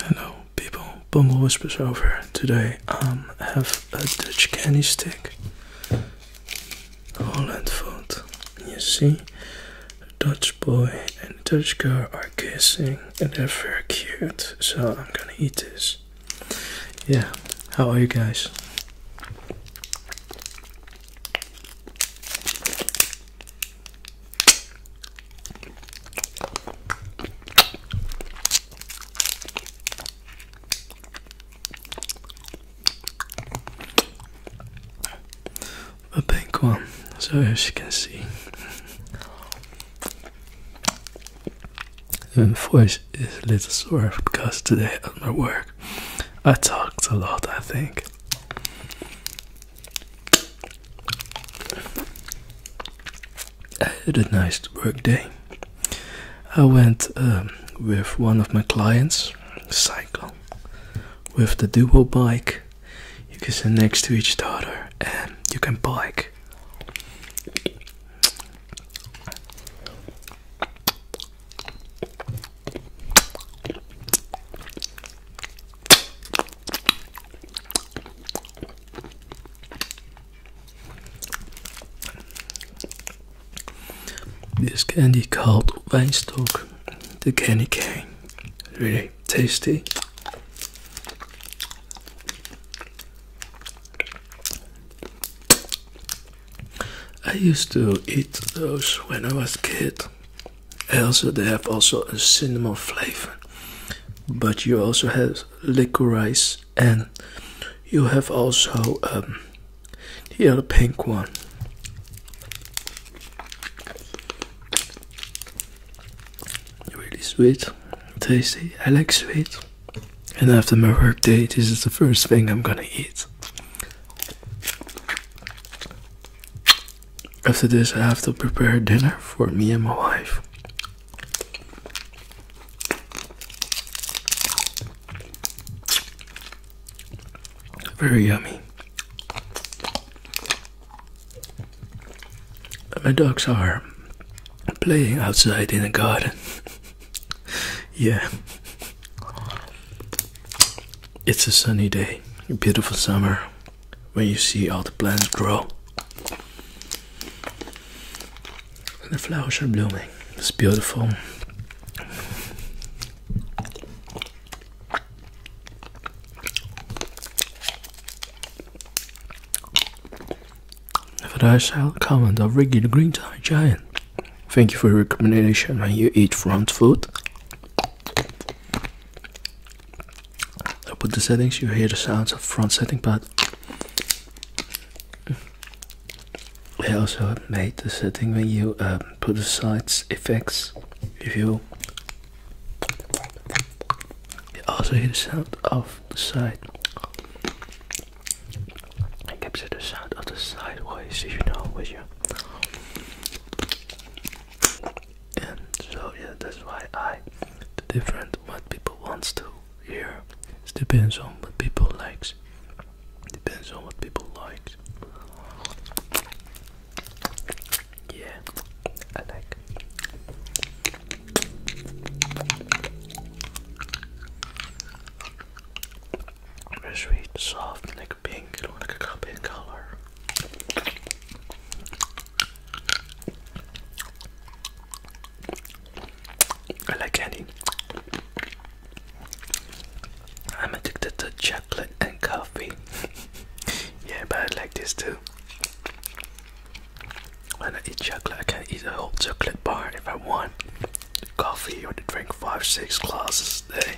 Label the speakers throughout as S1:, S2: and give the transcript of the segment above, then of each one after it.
S1: Hello people, Bumble Whispers over. Today um, I have a Dutch candy stick. Holland food. You see, Dutch boy and Dutch girl are kissing and they're very cute. So I'm gonna eat this. Yeah, how are you guys? The pink one, so as you can see, the voice is a little sore because today at my work I talked a lot, I think. I had a nice work day. I went um, with one of my clients, cycle, with the duo bike. You can sit next to each other and you can bike. This candy called Weinstock, the candy cane, really tasty. I used to eat those when I was kid also they have also a cinnamon flavor but you also have licorice and you have also um, the other pink one really sweet tasty i like sweet and after my work day this is the first thing i'm gonna eat after this, I have to prepare dinner for me and my wife. Very yummy. My dogs are playing outside in the garden. yeah. It's a sunny day, beautiful summer when you see all the plants grow and the flowers are blooming. It's beautiful. But I shall comment on Ricky Green Giant. Thank you for your recommendation when you eat front food. Put the settings, you hear the sounds of front setting pad. I also made the setting when you um, put the side effects, if you also hear the sound of the side. I capture the sound of the sideways, you know, with you and so yeah that's why I the different what people wants to hear it depends on what people likes depends on what people likes yeah I like very sweet soft like pink like a cup color I like candy. I'm addicted to chocolate and coffee. yeah, but I like this too. When I eat chocolate, I can eat a whole chocolate bar if I want. Coffee or to drink five, six glasses a day.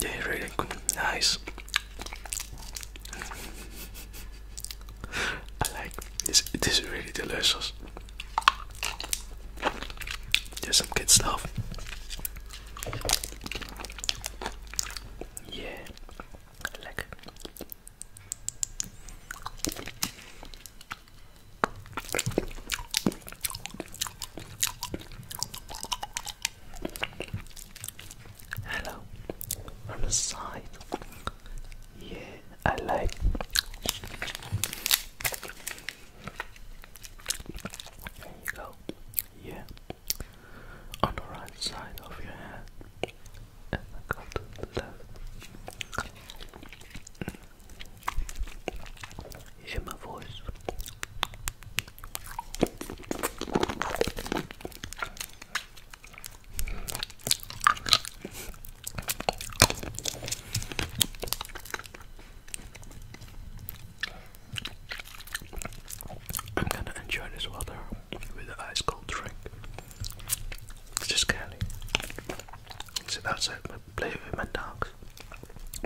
S1: They really good, nice. I like this. is really delicious. There's some good stuff. Yeah, I Hello, from the side. Yeah, I like. There you go. Yeah, on the right side of your head. I hear my voice. I'm gonna enjoy this water with an ice cold drink. It's just candy. So that's it. I play with my dogs.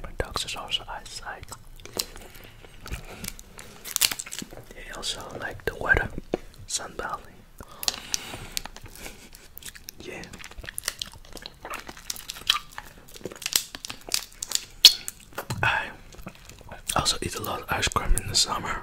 S1: My dogs is also outside. They also like the weather, sunbathing. Yeah. I also eat a lot of ice cream in the summer.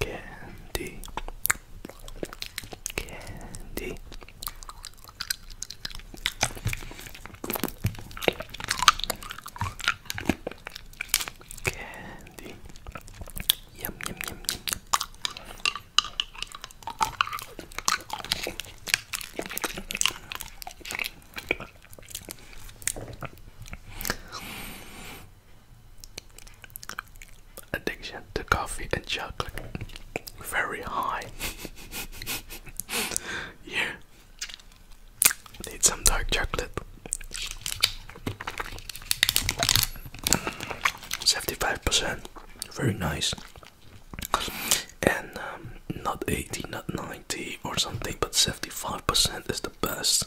S1: candy candy candy yum yum yum yum addiction to coffee and chocolate very high. yeah, need some dark chocolate. 75%, very nice. And um, not 80, not 90 or something, but 75% is the best.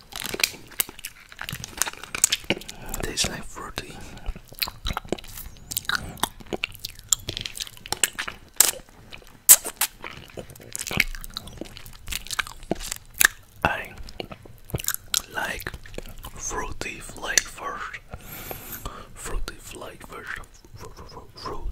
S1: It tastes like fruity. I like fruity flavors. Fruity flavors. Fruity.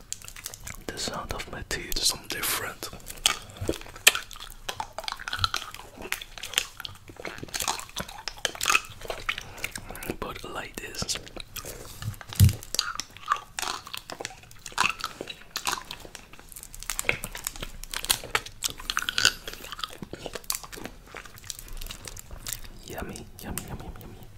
S1: The sound of my teeth is something different. But like this. Yummy, yummy, yummy, yummy.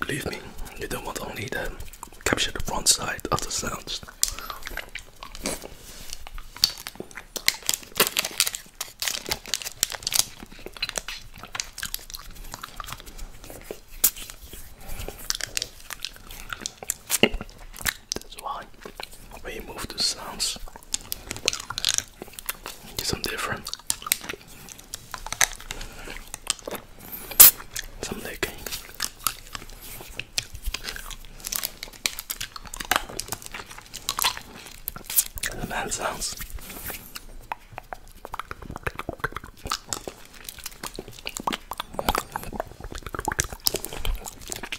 S1: Believe me, you don't want only to capture the front side of the sounds. That's why when move the sounds Something different. Some lick. The sounds.